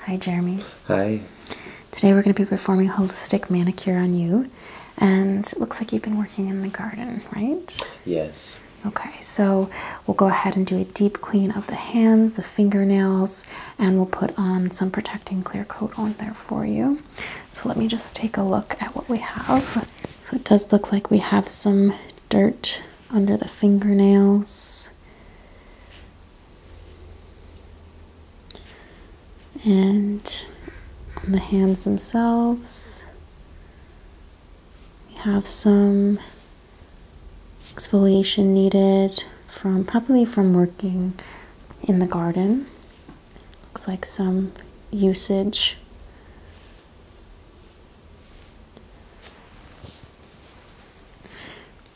Hi, Jeremy. Hi. Today we're going to be performing holistic manicure on you, and it looks like you've been working in the garden, right? Yes. Okay, so we'll go ahead and do a deep clean of the hands, the fingernails, and we'll put on some protecting clear coat on there for you. So let me just take a look at what we have. So it does look like we have some dirt under the fingernails. And on the hands themselves, we have some exfoliation needed from probably from working in the garden. Looks like some usage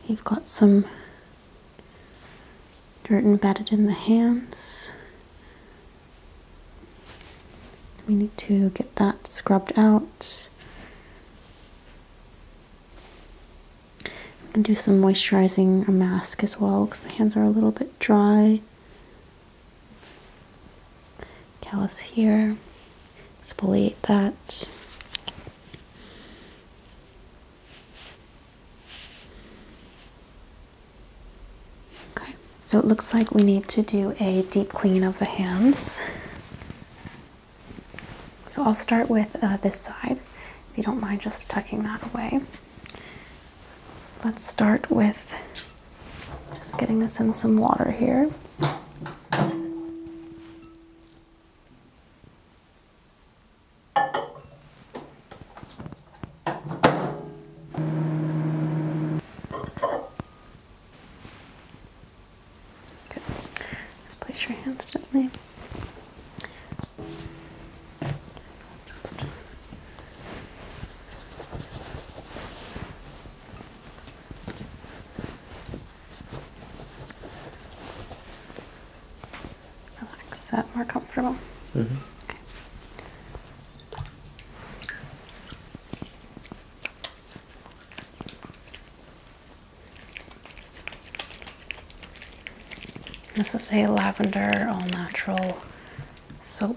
You've got some dirt embedded in the hands. We need to get that scrubbed out. I'm going to do some moisturizing a mask as well because the hands are a little bit dry callus here. Exfoliate that. Okay, so it looks like we need to do a deep clean of the hands. So I'll start with uh, this side, if you don't mind just tucking that away. Let's start with just getting this in some water here. Good. Just place your hands gently. Just Relax that more comfortable. Mm-hmm. This is a lavender all natural soap.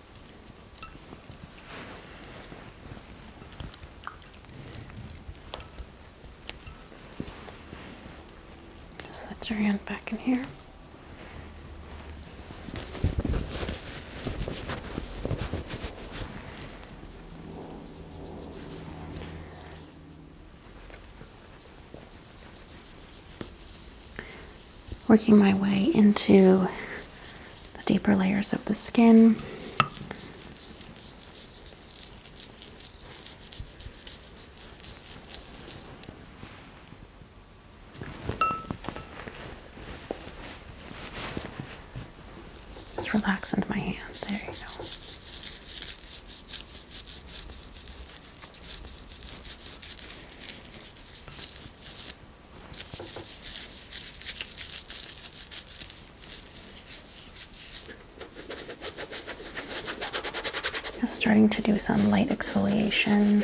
Just let your hand back in here working my way into the deeper layers of the skin. Just relax into my hands. There you go. Just starting to do some light exfoliation.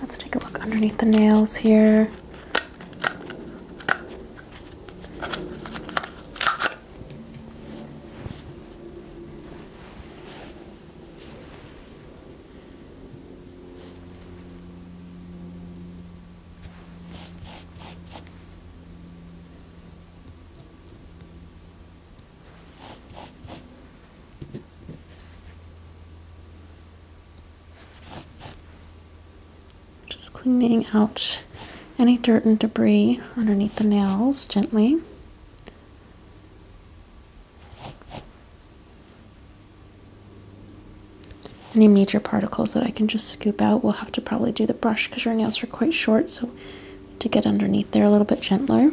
Let's take a look underneath the nails here. Just cleaning out any dirt and debris underneath the nails gently. Any major particles that I can just scoop out, we'll have to probably do the brush because your nails are quite short, so to get underneath there a little bit gentler.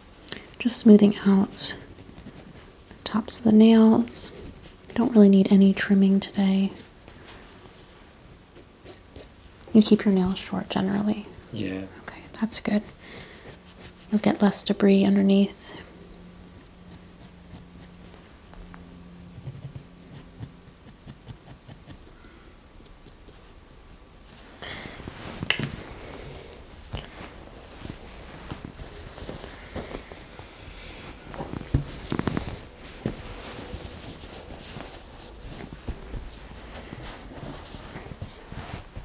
Just smoothing out the tops of the nails. don't really need any trimming today. You keep your nails short generally. Yeah. Okay, that's good. You'll get less debris underneath.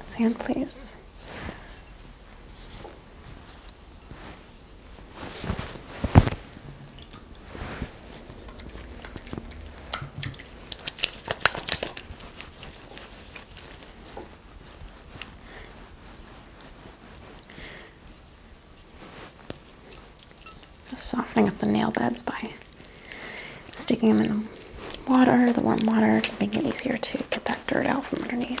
Sam, please softening up the nail beds by sticking them in the water, the warm water, just making it easier to get that dirt out from underneath.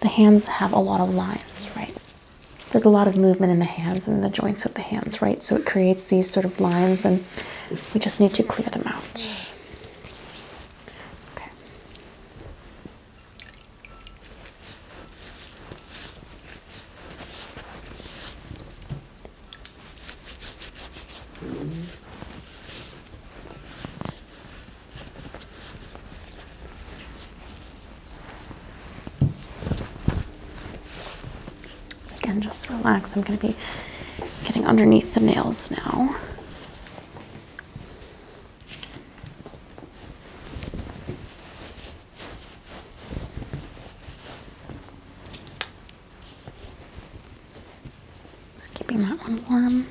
The hands have a lot of lines, right? There's a lot of movement in the hands and the joints of the hands, right? So it creates these sort of lines, and we just need to clear them out. Okay. Again, just relax. I'm going to be getting underneath the nails now. Just keeping that one warm.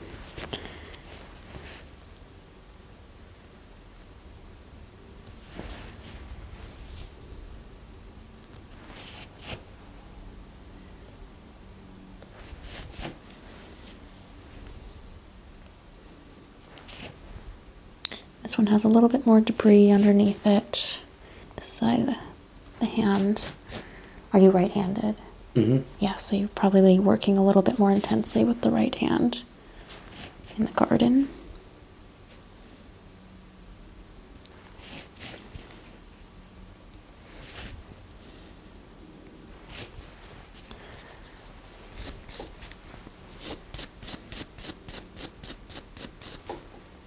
This one has a little bit more debris underneath it. This side of the hand. Are you right handed? Mm mm-hmm. Yeah, so you're probably working a little bit more intensely with the right hand in the garden.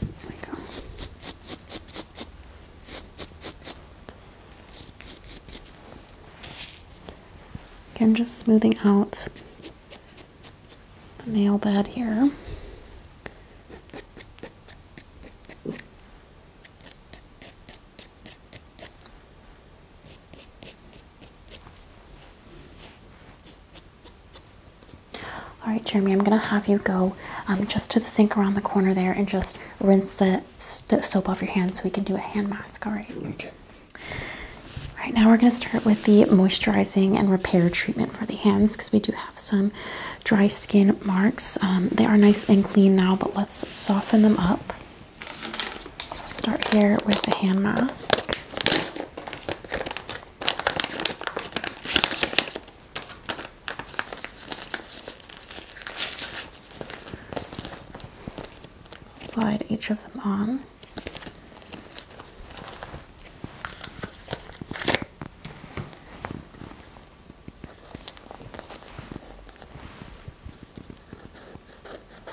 There we Again, just smoothing out the nail bed here. All right, Jeremy, I'm going to have you go um, just to the sink around the corner there and just rinse the, soap off your hands so we can do a hand mask. All right. Okay. All right, now we're going to start with the moisturizing and repair treatment for the hands because we do have some dry skin marks. Um, they are nice and clean now, but let's soften them up. start here with the hand mask. Slide each of them on.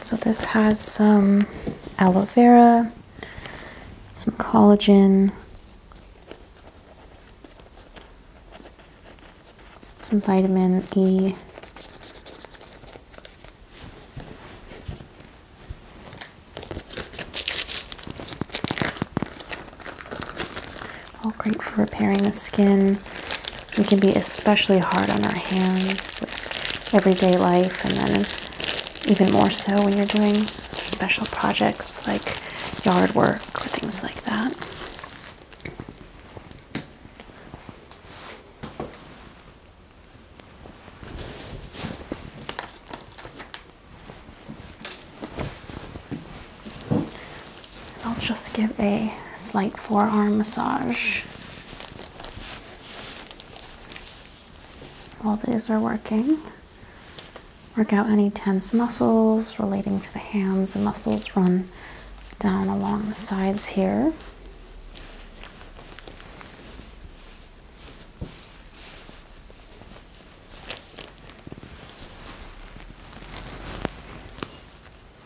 So this has some aloe vera, some collagen, some vitamin E. All great for repairing the skin. We can be especially hard on our hands with everyday life, and then even more so when you're doing special projects like yard work or things like that. I'll just give a slight forearm massage. while these are working. Work out any tense muscles relating to the hands. The muscles run down along the sides here.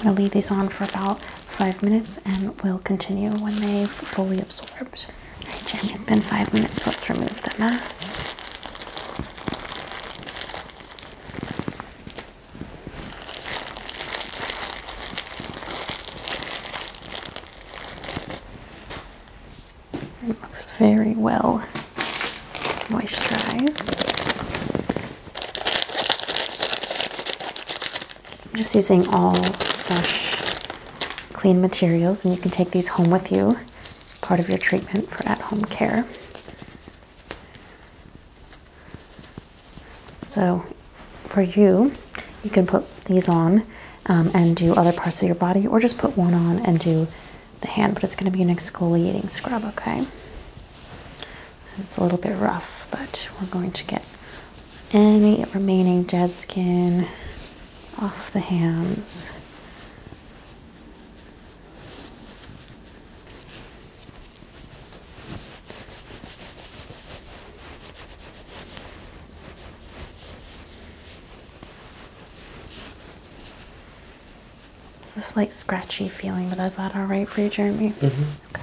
I'm going to leave these on for about five minutes and we'll continue when they've fully absorbed. Alright, Jenny, it's been five minutes. Let's remove the mask. It looks very well moisturized. I'm just using all fresh, clean materials, and you can take these home with you part of your treatment for at home care. So, for you, you can put these on um, and do other parts of your body, or just put one on and do the hand, but it's going to be an exfoliating scrub, okay? it's a little bit rough, but we're going to get any remaining dead skin off the hands. It's a slight scratchy feeling, but is that all right for you, Jeremy? Mm -hmm. Okay.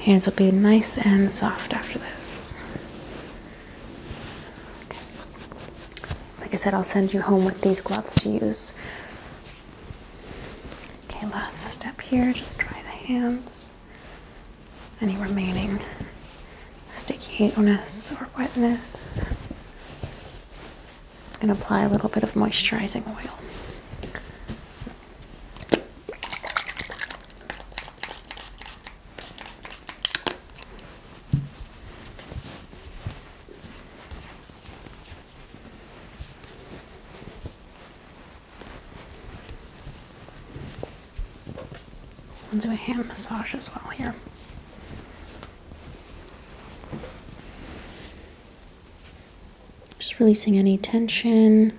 Hands will be nice and soft after this. Like I said, I'll send you home with these gloves to use. Okay, last step here, just dry the hands. Any remaining stickiness or wetness. I'm gonna apply a little bit of moisturizing oil. I'll do a hand massage as well here. Just releasing any tension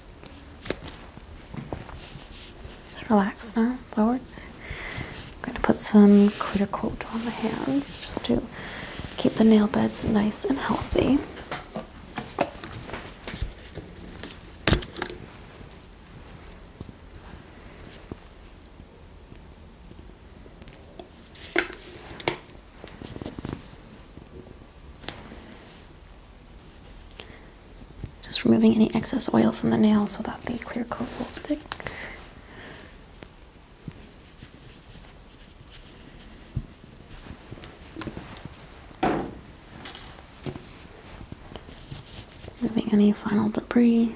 Just relax now, forwards. I'm going to put some clear coat on the hands just to keep the nail beds nice and healthy. Just removing any excess oil from the nail so that the clear coat will stick. Removing any final debris.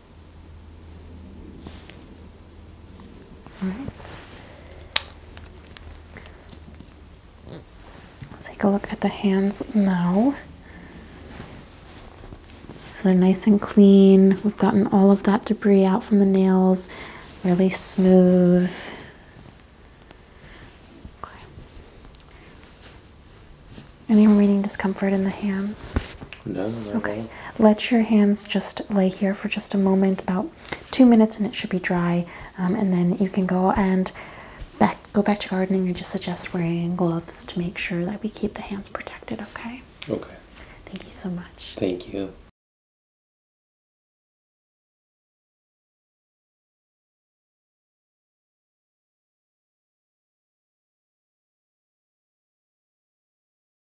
Alright. Let's take a look at the hands now. So they're nice and clean. We've gotten all of that debris out from the nails, really smooth. Any remaining discomfort in the hands? okay. Let your hands just lay here for just a moment, about two minutes, and it should be dry. Um, and then you can go and back go back to gardening. and just suggest wearing gloves to make sure that we keep the hands protected. Okay. Okay. Thank you so much. Thank you.